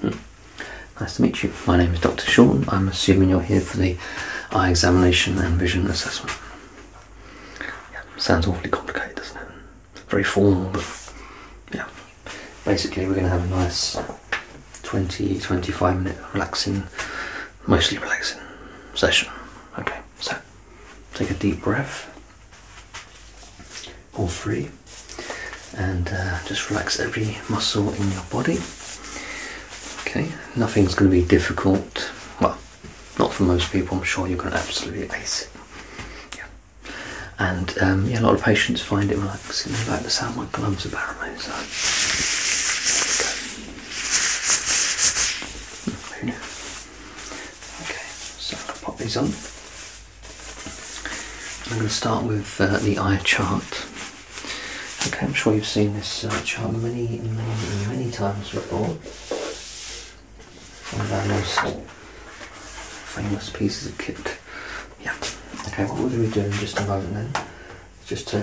Hmm. Nice to meet you. My name is Dr. Sean. I'm assuming you're here for the eye examination and vision assessment. sounds awfully complicated, doesn't it? Very formal, but yeah. Basically, we're going to have a nice 20 25 minute relaxing, mostly relaxing session. Okay. So take a deep breath, all free, and uh, just relax every muscle in your body. Okay, nothing's going to be difficult. Well, not for most people. I'm sure you're going to absolutely ace it. Yeah. And um, yeah, a lot of patients find it relaxing. They like the sound my gloves apparently. So. Okay, so i will pop these on. I'm going to start with uh, the eye chart. Okay, I'm sure you've seen this uh, chart many, many, many times before. One of our most famous pieces of kit. Yeah. Okay, what are we doing just a moment then, just uh,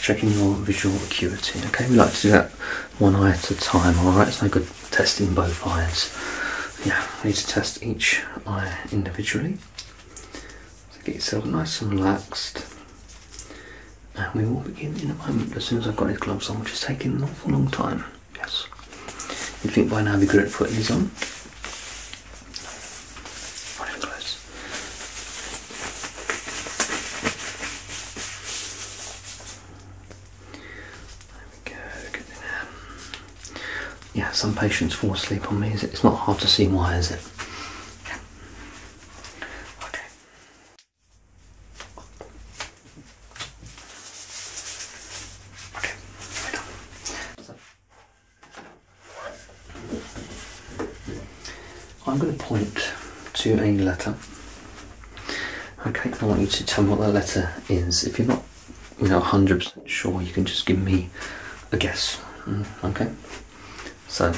checking your visual acuity. Okay, we like to do that one eye at a time, alright? It's no good testing both eyes. Yeah, I need to test each eye individually. So get yourself nice and relaxed. And we will begin in a moment. As soon as I've got his gloves on, which is taking an awful long time. Yes. you think by now I'd be good at putting these on. Not even close. There we go. Yeah, some patients fall asleep on me. It's not hard to see why, is it? Yeah. Okay. Okay. Right on. I'm going to point to a letter Okay, I want you to tell me what that letter is. If you're not, you know, 100% sure, you can just give me a guess. Mm, okay? So,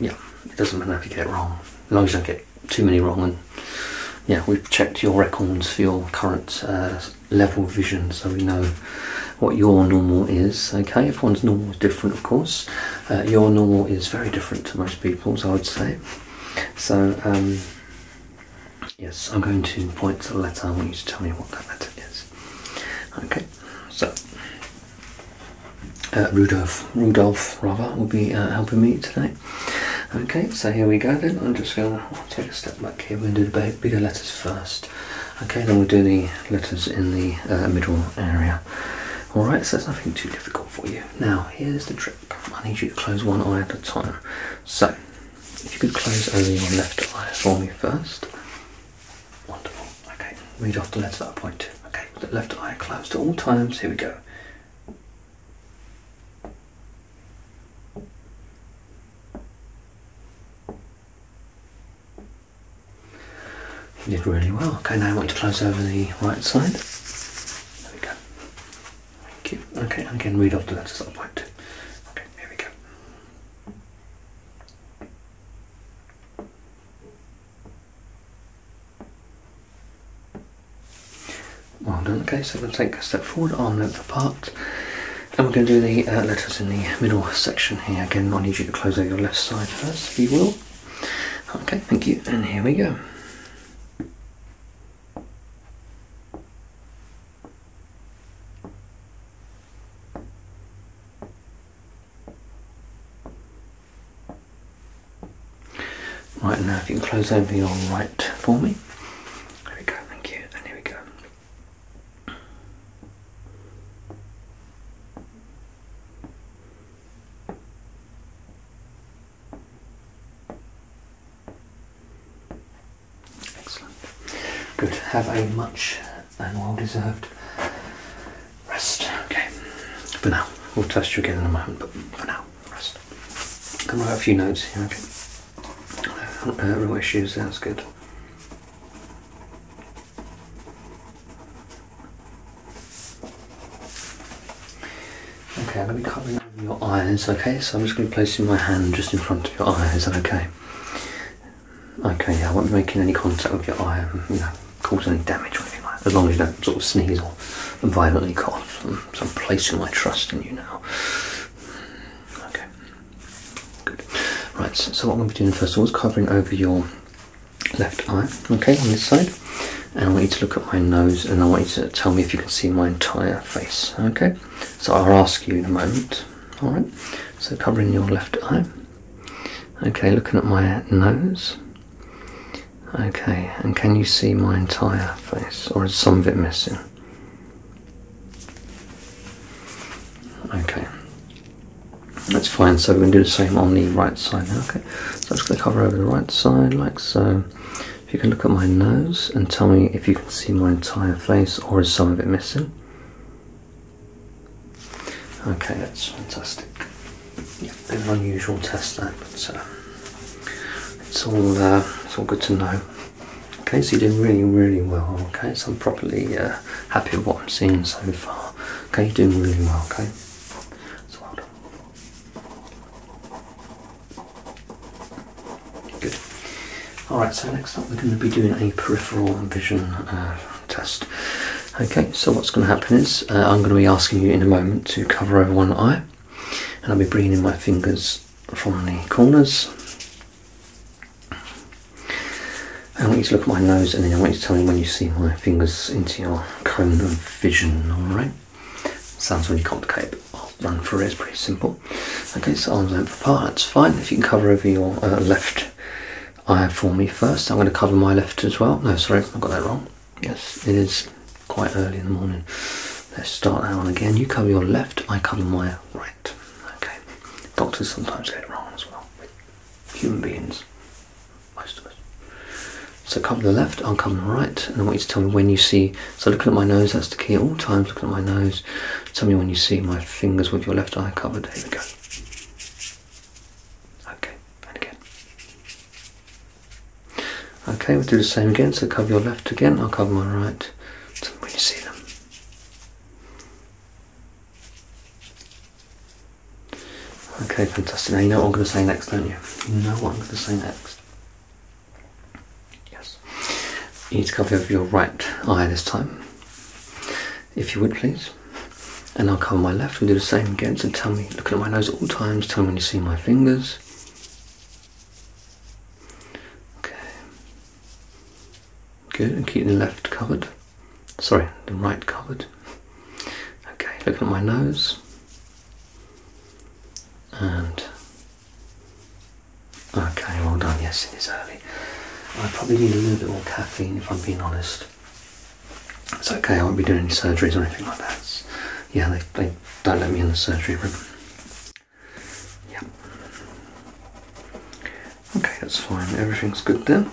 yeah, it doesn't matter if you get wrong. As long as I get too many wrong. And yeah, we've checked your records for your current uh, level vision so we know what your normal is. Okay, everyone's normal is different, of course. Uh, your normal is very different to most people's, I would say. So, um, yes, I'm going to point to a letter. I want you to tell me what that letter is. Okay, so uh, Rudolf Rudolf Rudolph will be uh, helping me today. Okay, so here we go then. I'm just going to take a step back here. We're going to do the bigger letters first. Okay, then we'll do the letters in the uh, middle area. Alright, so it's nothing too difficult for you. Now, here's the trick. I need you to close one eye at a time. So, if you could close only your left eye for me first. Wonderful. Okay, read off the letters that I point to. Okay, with the left eye closed at all times. Here we go. You did really well. Okay, now I want you to close over the right side. There we go. Thank you. Okay, and again, read off the letters at some point. Okay, here we go. Well done. Okay, so we'll take a step forward, on that part, And we're going to do the uh, letters in the middle section here. Again, I need you to close over your left side first, if you will. Okay, thank you. And here we go. Right now, if you can close over your right for me. There we go, thank you. And here we go. Excellent. Good. Have a much and well deserved rest. Okay. But now. We'll test you again in a moment, but for now, rest. Can write a few notes here, okay? Uh, real issues, Sounds good. Okay, I'm going to be covering your eyes, okay? So I'm just going to be placing my hand just in front of your eyes. is that okay? Okay, I won't be making any contact with your eye um, you know, cause any damage or anything like that, as long as you don't sort of sneeze or violently cough. So I'm placing my trust in you now. Okay, good. Right, so what I'm going to be doing first of all is covering over your left eye, okay, on this side. And I want you to look at my nose and I want you to tell me if you can see my entire face, okay? So I'll ask you in a moment, alright? So covering your left eye. Okay, looking at my nose. Okay, and can you see my entire face or is some of it missing? Okay, that's fine. So we're going to do the same on the right side Okay so I'm just going to cover over the right side like so. If you can look at my nose and tell me if you can see my entire face or is some of it missing. Okay, that's fantastic. Yeah, bit of an unusual test that, but uh, it's all uh, it's all good to know. Okay, so you're doing really, really well. Okay, so I'm properly uh, happy with what I'm seeing so far. Okay, you're doing really well. Okay, so well Good. Alright, so next up we're going to be doing a peripheral vision uh, test. Okay, so what's going to happen is uh, I'm going to be asking you in a moment to cover over one eye, and I'll be bringing in my fingers from the corners. I want you to look at my nose and then I want you to tell me when you see my fingers into your cone of vision, alright? Sounds really complicated, but I'll run through it, it's pretty simple. Okay, so arms length apart, that's fine. If you can cover over your uh, left eye for me first, I'm going to cover my left as well. No, sorry, I got that wrong. Yes, it is quite early in the morning. Let's start that one again. You cover your left, I cover my right. Okay, doctors sometimes get it wrong as well, human beings. So come to the left, I'll come right, and I want you to tell me when you see. So looking at my nose, that's the key at all times, looking at my nose. Tell me when you see my fingers with your left eye covered. Here we go. Okay, and again. Okay, we'll do the same again. So cover your left again, I'll cover my right. when you see them. Okay, fantastic. Now you know what I'm going to say next, don't you? You know what I'm going to say next. Yes. You need to cover your right eye this time. If you would, please. And I'll cover my left and do the same again. So tell me, looking at my nose at all times, tell me when you see my fingers. Okay. Good, and keep the left covered. Sorry, the right covered. Okay, looking at my nose. And okay, well done. Yes, it is early. I probably need a little bit more caffeine if I'm being honest. It's okay. I won't be doing any surgeries or anything like that. yeah, they, they don't let me in the surgery room. Yeah. Okay, that's fine. Everything's good then.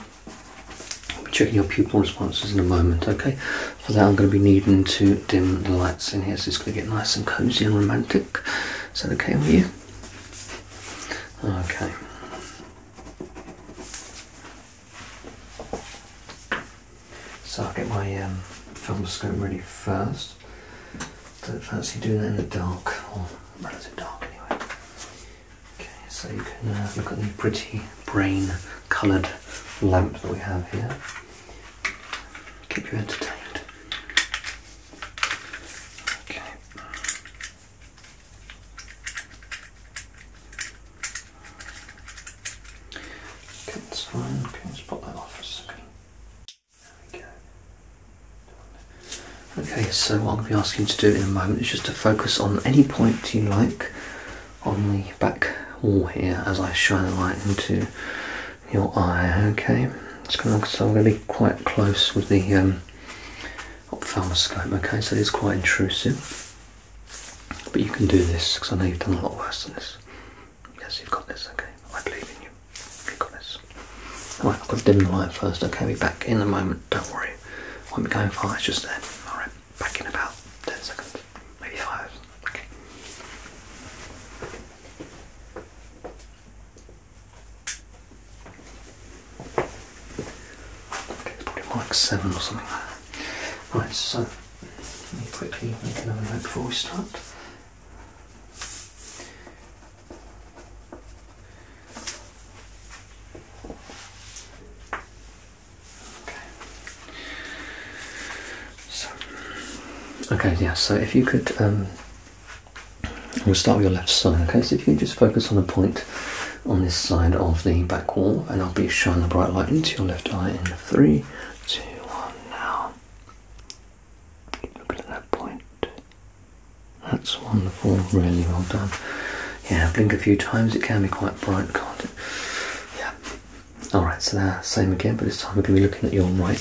I'll be checking your pupil responses in a moment. Okay. For that I'm going to be needing to dim the lights in here so it's going to get nice and cosy and romantic. Is that okay with you? Okay. So I'll get my um, film scope ready first. Don't fancy doing that in the dark, or relative dark anyway. Okay, so you can uh, look at the pretty brain coloured lamp that we have here. Keep you entertained. Okay. Okay, Okay, let's that off for a second. There we go. Okay, so what I'm going to be asking you to do in a moment is just to focus on any point you like on the back wall here as I shine the light into your eye. Okay, it's going to, so I'm going to be quite close with the um, ophthalmoscope. Okay, so it is quite intrusive, but you can do this because I know you've done a lot worse than this. Yes, you've got this. Okay, I believe in you. You've got this. All right, I've got to dim the light first. Okay, I'll be back in a moment. Don't worry, I will be going far. It's just there. All right back in about 10 seconds, maybe 5. Okay. okay it's probably like 7 or something like that. Right, so let me quickly make another note before we start. So. Okay, yeah, so if you could, um, we'll start with your left side, okay? So if you just focus on a point on this side of the back wall, and I'll be shining the bright light into your left eye in three, two, one, now. Keep looking at that point. That's wonderful, really well done. Yeah, blink a few times, it can be quite bright, can't it? Yeah, Alright, so now same again, but this time we're going to be looking at your right.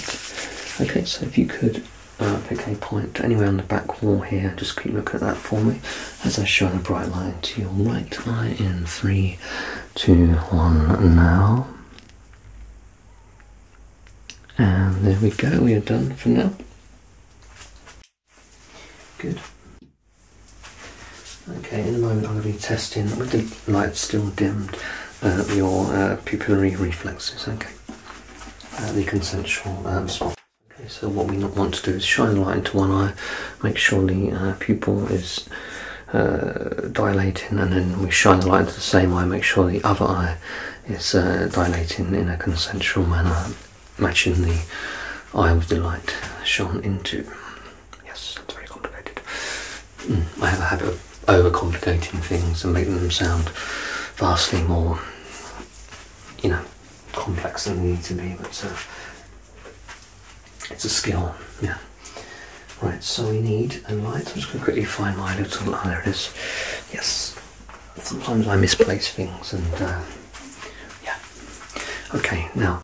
Okay, so if you could uh, pick a point anywhere on the back wall here, just keep looking at that for me as I shine a bright light to your right eye in three, two, one now. And there we go, we are done for now. Good. Okay, in a moment I'm going to be testing with the light still dimmed uh, your uh, pupillary reflexes, okay, the consensual um, Okay, so what we want to do is shine the light into one eye, make sure the uh, pupil is dilating, and then we shine the light into the same eye, make sure the other eye is dilating in a consensual manner, matching the eye with the light shone into. Yes, that's very complicated. Hmm, I have a habit of overcomplicating things and making them sound vastly more, you know, complex than they need to be, but uh, it's a skill, yeah. Right, so we need a light. I'm just going to quickly find my little. Oh, there it is. Yes. Sometimes I misplace things and, uh, yeah. Okay, now.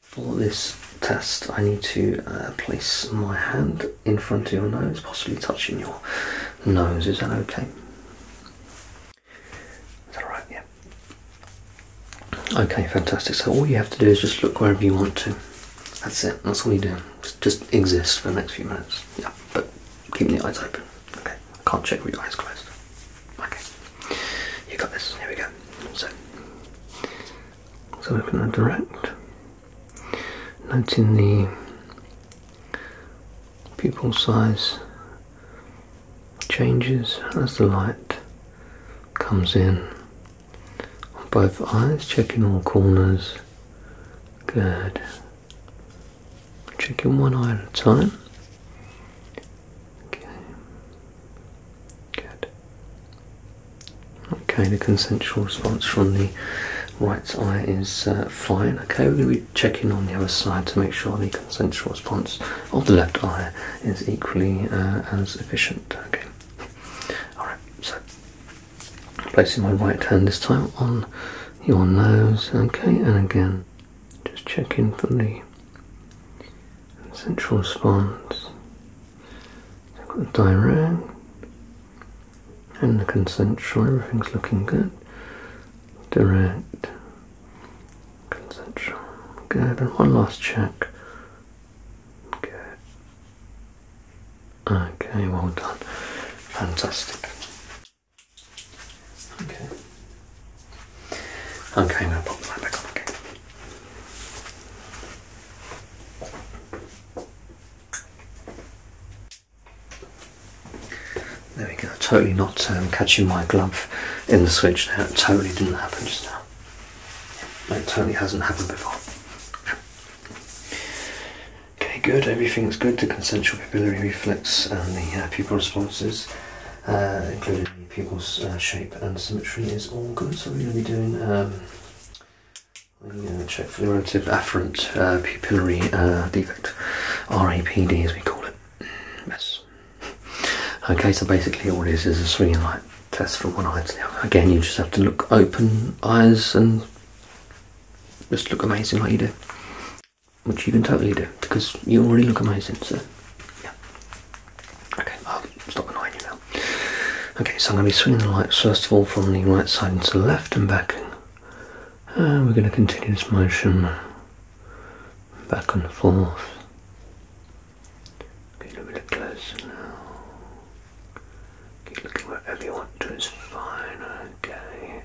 For this test, I need to uh, place my hand in front of your nose, possibly touching your nose. Is that okay? Is alright? Yeah. Okay, fantastic. So all you have to do is just look wherever you want to. That's it. That's all you do. Just, just exist for the next few minutes. Yeah, but keep the eyes open. Okay. can't check with your eyes closed. Okay. You got this. Here we go. So, so we're going to direct, Note in the pupil size changes as the light comes in both eyes, checking all corners. Good. Checking one eye at a time. Okay. Good. Okay, the consensual response from the right eye is uh, fine. Okay, we'll be checking on the other side to make sure the consensual response of the left eye is equally uh, as efficient. Okay. Alright, so placing my right hand this time on your nose, okay, and again just checking for the central response. I've got the direct and the consensual, everything's looking good. Direct, consensual, good. And one last check. Good. Okay, well done. Fantastic. Okay. Okay, now pop light back on again. There we go, totally not um, catching my glove in the switch now. it totally didn't happen just now. It totally hasn't happened before. Okay, good, everything's good, the consensual pupillary reflex and the uh, pupil responses, uh, included pupil's uh, shape and symmetry is all good. So we're going to be doing um, check for relative afferent uh, pupillary uh, defect, RAPD as we call it. Yes. Okay, so basically all this is a swinging light test for one eye to Again, you just have to look open eyes and just look amazing like you do which you can totally do because you already look amazing. So, yeah. Okay, I'll stop annoying you now. Okay, so I'm going to be swinging the lights first of all from the right side into the left and back. And we're going to continue this motion back and forth. Okay, a little bit closer now. Okay, looking wherever you want to, it's fine, okay.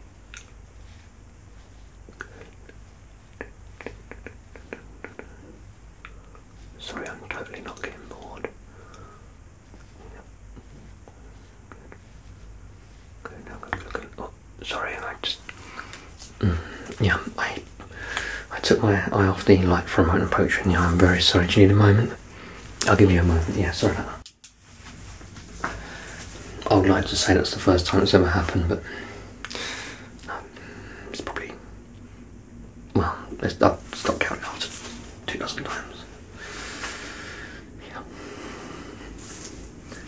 Sorry, I'm totally not getting bored. Good, now go looking. Oh, sorry, I just. Mm, yeah, I I took my eye off the light for a moment and potion. Yeah, I'm very sorry. Do you need a moment? I'll give you a moment. Yeah, sorry about that. I would like to say that's the first time it's ever happened, but it's probably well, let's stop counting after two dozen times. Yeah.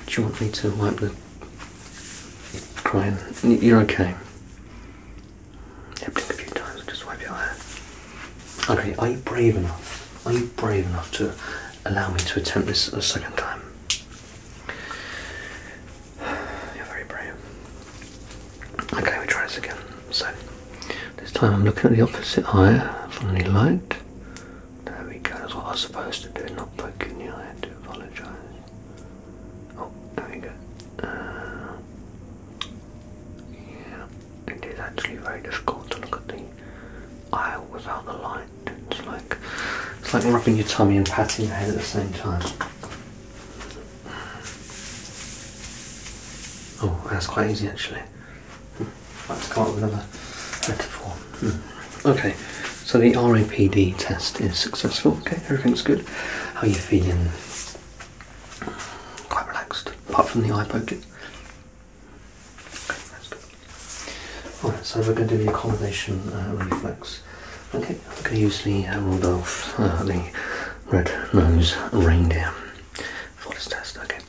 Do you want me to wipe the are crying? You're okay. a few times just wipe your eye. Okay, are you brave enough? Are you brave enough to allow me to attempt this a second time? You're very brave. Okay, we try this again. So this time I'm looking at the opposite eye from the light. There we go. That's what I was supposed to do. Not poking you. I I to apologise. Oh, there we go. Uh, yeah, it is actually very difficult to look at the eye without the light. It's like it's like rubbing your tummy and patting your head at the same time. Oh, that's quite easy actually. Hmm. let to come up with another metaphor. Hmm. Okay, so the RAPD test is successful. Okay, everything's good. How are you feeling? Quite relaxed, apart from the eye poking. that's good. Alright, so we're going to do the accommodation uh, reflex. Okay, I'm going to use the Rudolph, uh, the red nose reindeer for this test. Okay,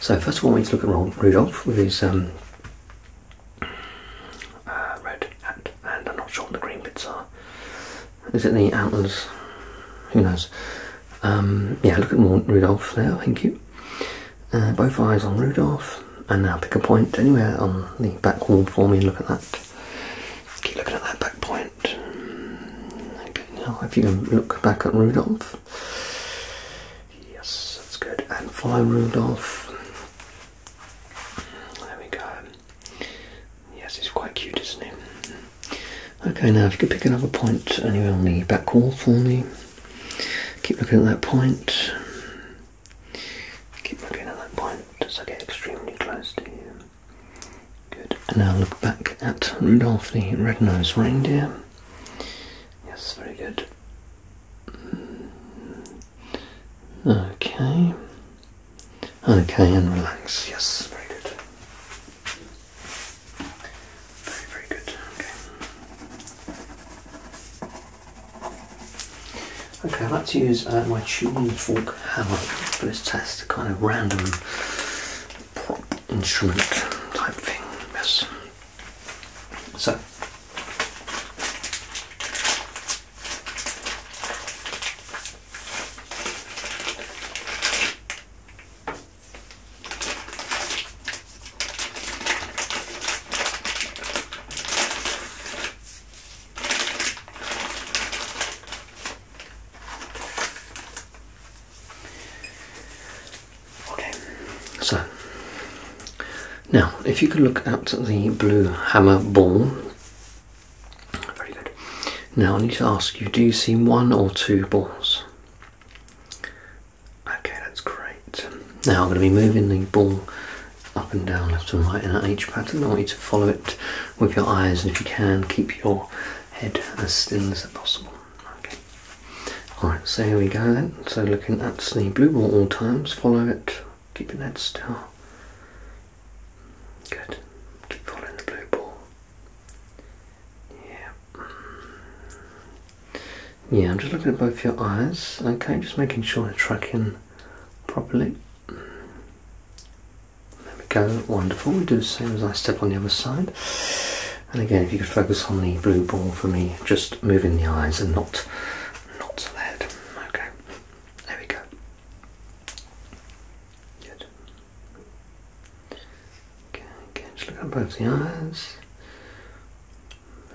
so first of all, we need to look at Rudolph with his um, uh, red hat, and I'm not sure what the green bits are. Is it the antlers? Who knows? Um, yeah, look at more Rudolph there, thank you. Uh, both eyes on Rudolph and now pick a point anywhere on the back wall for me and look at that. Keep looking at that back point. now if you can look back at Rudolph. Yes, that's good. And follow Rudolph. There we go. Yes, he's quite cute, isn't he? Okay, now if you could pick another point anywhere on the back wall for me. Keep looking at that point. Keep looking at that point as I get extremely close to you. Good. And now look back at Rudolph the Red-Nosed Reindeer. Yes, very good. Mm. Okay. Okay, and relax. Yes, very good. Very, very good. Okay. Okay, i like to use uh, my tuning fork hammer for this test, kind of random prop instrument type thing, yes. So, Okay, so now if you could look at the blue hammer ball. Very good. Now I need to ask you do you see one or two balls? Okay, that's great. Now I'm going to be moving the ball up and down, left and right in an H pattern. I want you to follow it with your eyes, and if you can, keep your head as still as possible. Okay. Alright, so here we go then. So looking at the blue ball all times, follow it, keeping that still. Good. Keep following the blue ball. Yeah. Yeah, I'm just looking at both your eyes. Okay, just making sure I'm tracking properly. There we go, wonderful. We do the same as I step on the other side. And again, if you could focus on the blue ball for me, just moving the eyes and not, not the Okay, there we go. Good. Okay, again, just look at both the eyes.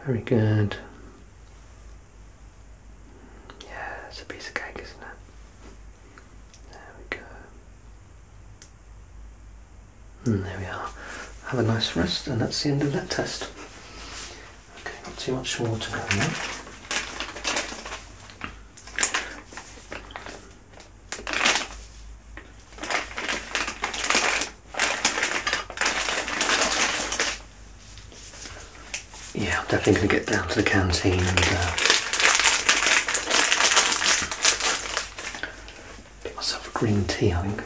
Very good. Yeah, it's a piece of cake, isn't it? There we go. And hmm, there we are. Have a nice rest, and that's the end of that test. Okay, not too much more to go now. Yeah, I'm definitely going to get down to the canteen and uh, get myself a green tea, I think.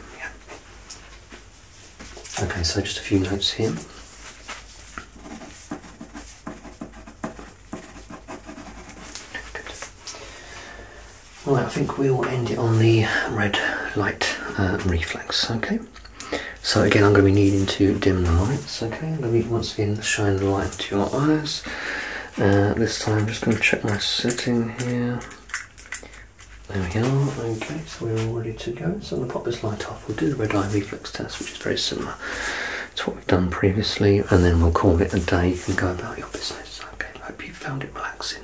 Okay, so just a few notes here. Good. Right, I think we'll end it on the red light uh, reflex, okay? So again, I'm going to be needing to dim the lights. Okay, I'm going to be once again shining the light into your eyes. Uh, this time, I'm just going to check my setting here. There we are, okay, so we're all ready to go. So I'm going to pop this light off. We'll do the red eye reflex test, which is very similar It's what we've done previously, and then we'll call it a day and go about your business. Okay, hope you found it relaxing.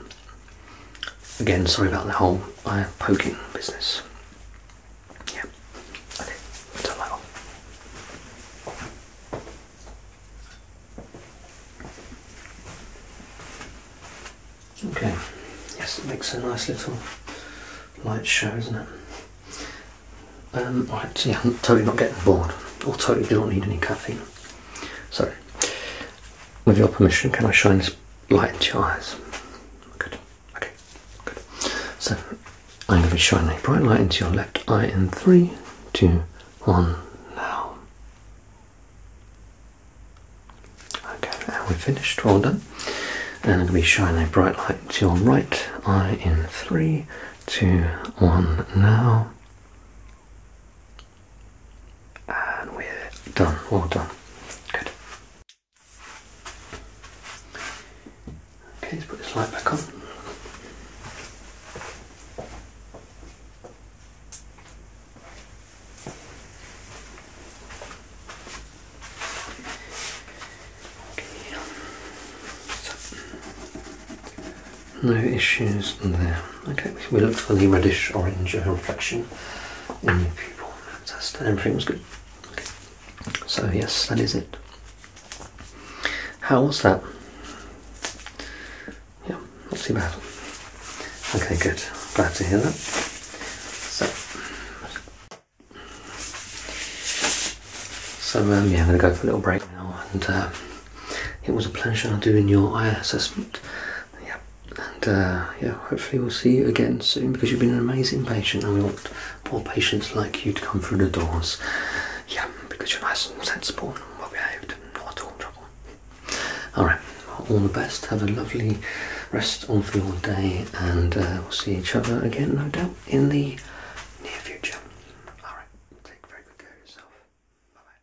Again, sorry about the whole uh, poking business. Yeah. Okay, turn that off. Okay, yes, makes a nice little light show, doesn't it? Um, right, yeah, I'm totally not getting bored, or totally do not need any caffeine. So, with your permission, can I shine this light your eyes. Good. Okay. Good. So I'm going to be shining a bright light into your left eye in three, two, one. Now. Okay. And we're finished. All done. And I'm going to be shining a bright light to your right eye in three, two, one. Now. And we're done, all done. Good. Okay, let's put this light back on. no issues there. Okay, we looked for the reddish orange reflection Fantastic, everything was good. So, yes, that is it. How was that? Yeah, not too bad. Okay, good. Glad to hear that. So, so um, yeah, I'm going to go for a little break now. And uh, it was a pleasure doing your eye assessment. Yeah, and uh, yeah, hopefully we'll see you again soon because you've been an amazing patient, and we want more patients like you to come through the doors. Yeah, because you're nice and sensible and well behaved, and not at all trouble. All right, all the best. Have a lovely rest of your day, and uh, we'll see each other again, no doubt, in the near future. All right, take very good care of yourself. bye.